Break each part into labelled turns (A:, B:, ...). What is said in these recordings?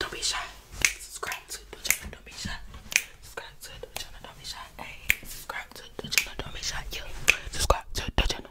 A: Don't be shy. Subscribe to the channel. Don't be shy. Subscribe to the channel. Don't be shy. Hey, subscribe to the channel. Don't be shy. Yeah, subscribe to the channel.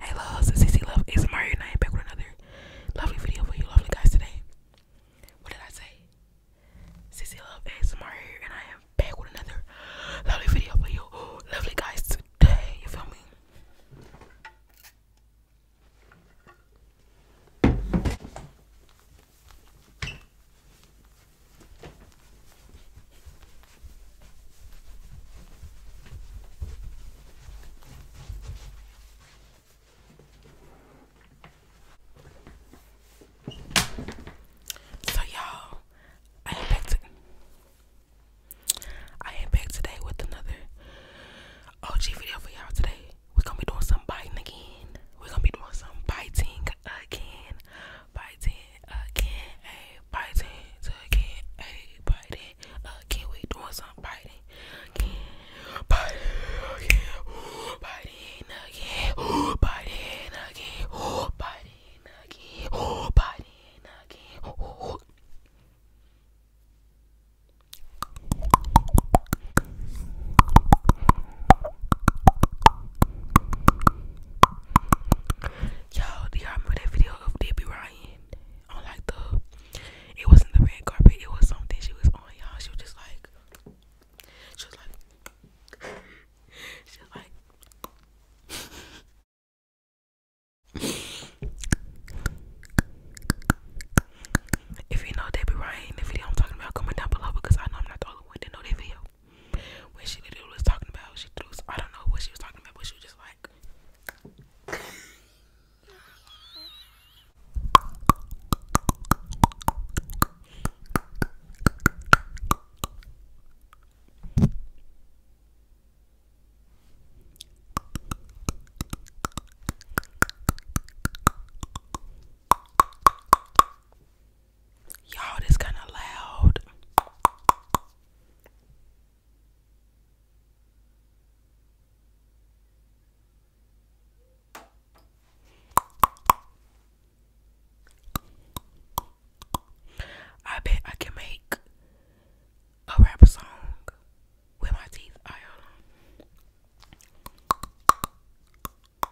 A: Hey loves, it's CC Love is Mario and I am back with another lovely video for you lovely guys today. What did I say? CC Love is Mario and I am back with another lovely video for you lovely guys today. You feel me? So y'all, I am back I am back today with another OG video for y'all today. We're gonna be doing some biting again. We're gonna be doing some biting again biting again, ayy, biting again, ayy, biting again. We doing some biting again, biting again, biting again, biting again, biting again, biting again you do y'all remember that video of Debbie Ryan on like the? It wasn't the red carpet. It was something she was on. Y'all, she was just like, she was like, she was like. if you know Debbie Ryan, the video I'm talking about, comment down below because I know I'm not the only one that know that video. What she literally was talking about she threw I don't know what she was talking about, What she was just like Y'all, this kind of loud. I bet I can make a rap song with my teeth. Uh,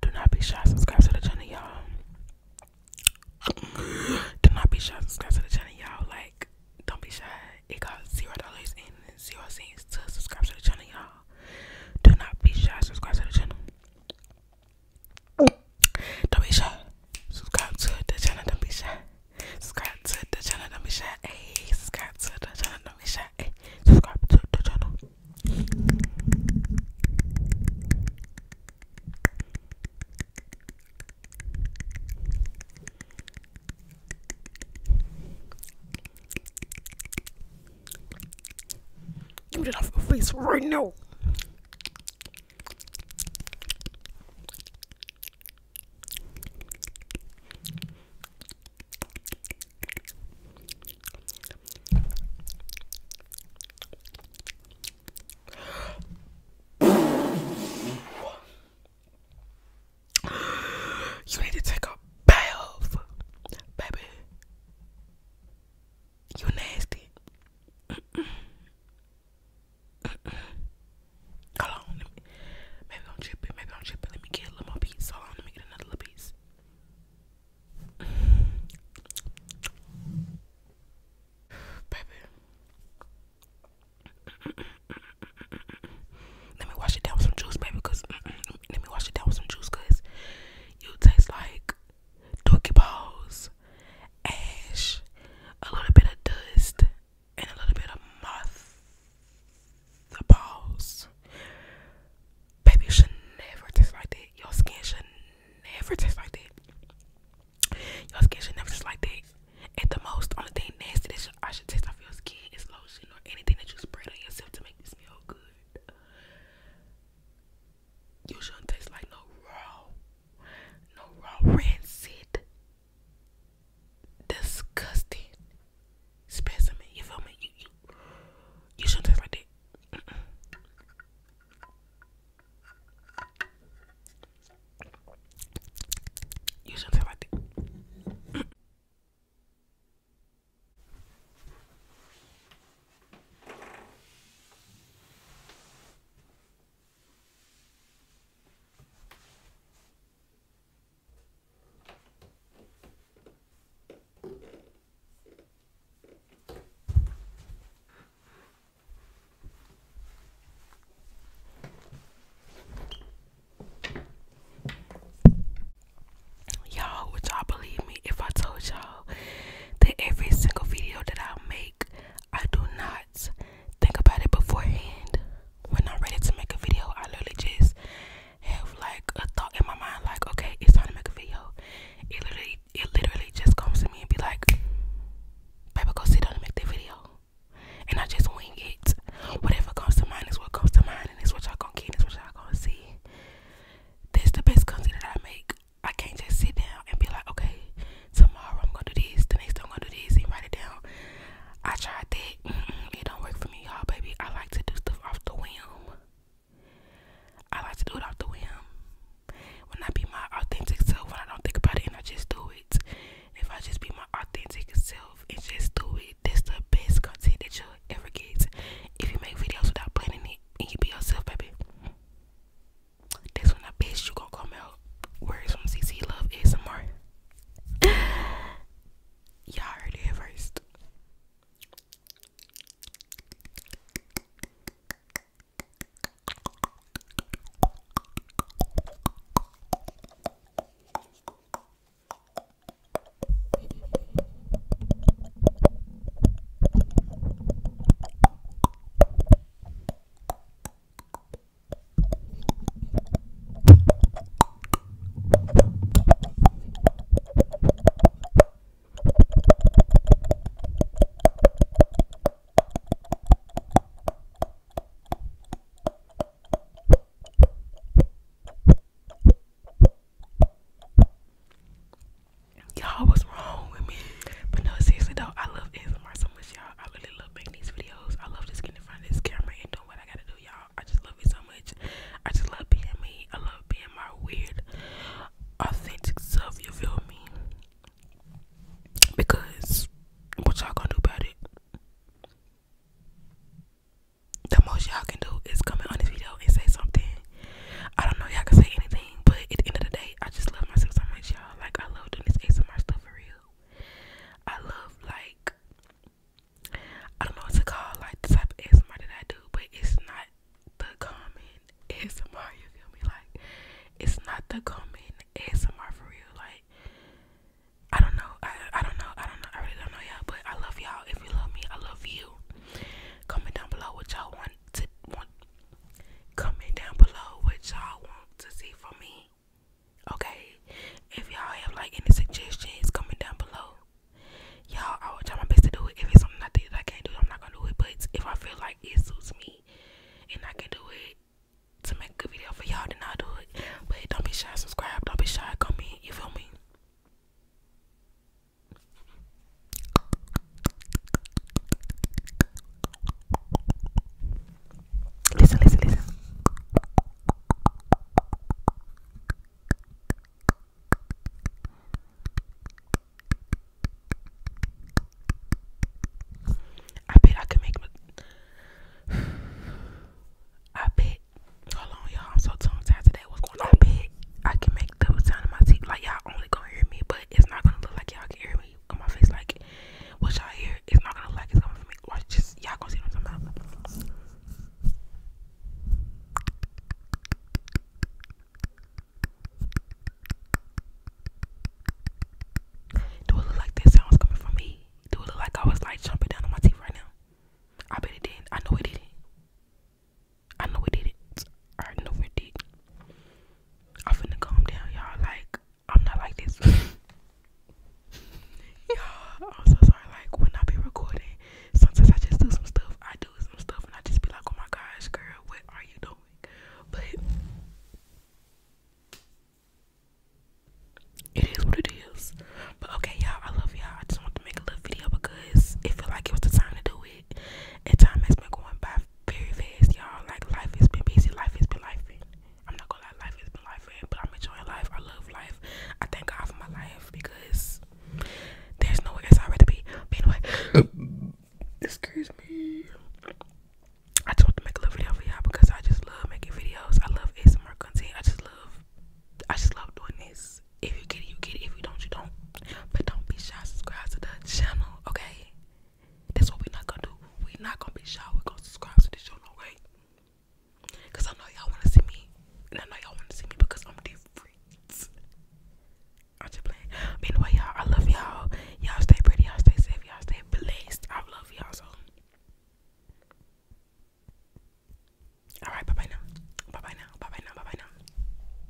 A: Do not be shy, subscribe to the channel, y'all. Do not be shy, subscribe to the channel, y'all. Like, don't be shy. It costs zero dollars and zero cents to subscribe to the channel, y'all. Do not be shy, subscribe to the channel. Don't be shy. Subscribe to the channel, don't be shy. Subscribe to the channel, don't be shy. Hey, subscribe to the channel, don't be shy. Hey, subscribe to the channel. Get it off my face right now. You need to take a bath, baby. You nasty. Mm -mm. Mm Hold on, maybe I'm tripping. Maybe I'm Let me get a little more pizza. Hold on, let me get another little Baby. let me wash it down with some juice, baby, because mm, mm, mm, let me wash it down with some juice because you taste like dookie balls, ash, a little bit of dust, and a little bit of moth the balls. Baby, should never taste like that. Your skin should never taste like that. Your skin should never taste like that. At the most, only thing nasty that should, taste off your skin is lotion or anything that you spread on yourself to make you smell good. You shouldn't taste like no raw, no raw rancid disgusting specimen. You feel me? You shouldn't like that. You shouldn't like that. Y'all, would y'all believe me if I told y'all that every single video that I make, I do not think about it beforehand? when I'm ready to make a video, I literally just have like a thought in my mind, like, okay, it's time to make a video. It literally, it literally just comes to me and be like, baby, go sit down and make the video. And I just wing it. Whatever comes to mind is what comes to mind, and it's what y'all gonna get, and it's what y'all gonna see. That's the best content that I make. I can't just sit down and be like, okay, tomorrow I'm gonna do this, the next day I'm gonna do this, and write it down. I tried that. it don't work for me, y'all, baby. I like to do stuff off the whim. I like to do it off the whim. When I be my authentic self, when I don't think about it and I just do it. If I just be my authentic self and just do it, that's the best content that you'll ever get. If you make videos without planning it and you be yourself, baby, that's when the best you gonna come out. Words from CC Love ASMR. You already have first. Y'all was wrong with me. But no, seriously though, I love ASMR so much, y'all. I really love making these videos. I love just getting in front of this camera and doing what I gotta do, y'all. I just love it so much. I just love being me. I love being my weird, authentic self. You feel me? Because what y'all gonna do about it? The most y'all can do is comment on this video and say something. I don't know y'all can say anything, but at the end of the day, I just love myself so much, y'all. Like I love doing this ASMR stuff for real. I love like I don't know what to call like the type of ASMR that I do, but it's not the common ASMR, you feel me? Like it's not the common ASMR for real. Like I don't know. I I don't know. I don't know. I really don't know y'all, but I love y'all. If you love me, I love you. Comment down below what y'all want to want Comment down below what y'all want to see from me. Okay? If y'all have like any suggestions, comment down below. Y'all, I will try my best to do it. If it's something I think that I can't do, it, I'm not gonna do it. But if I feel like it suits me and I can do it to make a good video for y'all, then I'll do it. But don't be shy, subscribe, don't be shy, comment, you feel me? Listen, listen, listen. I bet I could make I bet hold on y'all I'm so tongue tied today what's going on I bet I can make the sound of my teeth like y'all only gonna hear me but it's not gonna look like y'all can hear me me on my face like what y'all hear is not gonna look like it's coming from me. Watch just y'all gonna see what I'm talking about. Do it look like this sounds coming from me? Do it look like I was like jumping down on my teeth right now? I bet it didn't. I know it didn't. I know it didn't. I know it did. I'm finna calm down, y'all. Like, I'm not like this. y'all, I'm so sorry. Like, when I be recording, sometimes I just do some stuff. I do some stuff, and I just be like, oh my gosh, girl, what are you doing? But it is what it is. But okay, y'all, I love y'all. I just want to make a little video because it felt like it was the time to do it. And time has been going by very fast, y'all. Like life has been busy, life has been life. I'm not gonna lie, life has been life, but I'm enjoying life. I love life. I thank God for my life because there's nowhere else I'd to be. But anyway, excuse me. I just want to make a little video for y'all because I just love making videos. I love ASMR content. I just love, I just love doing this. If you get it, you get it. If you don't, you don't. But don't be shy. Subscribe to the channel, okay? That's what we're not gonna do. We're not gonna be shy. We're gonna subscribe to this no way. Cause I know y'all wanna see me, and I know y'all wanna see me because I'm different. I'm just playing. But anyway, y'all, I love y'all. Y'all stay pretty. Y'all stay safe. Y'all stay blessed. I love y'all so. All right. Bye bye now. Bye bye now. Bye bye now. Bye bye now.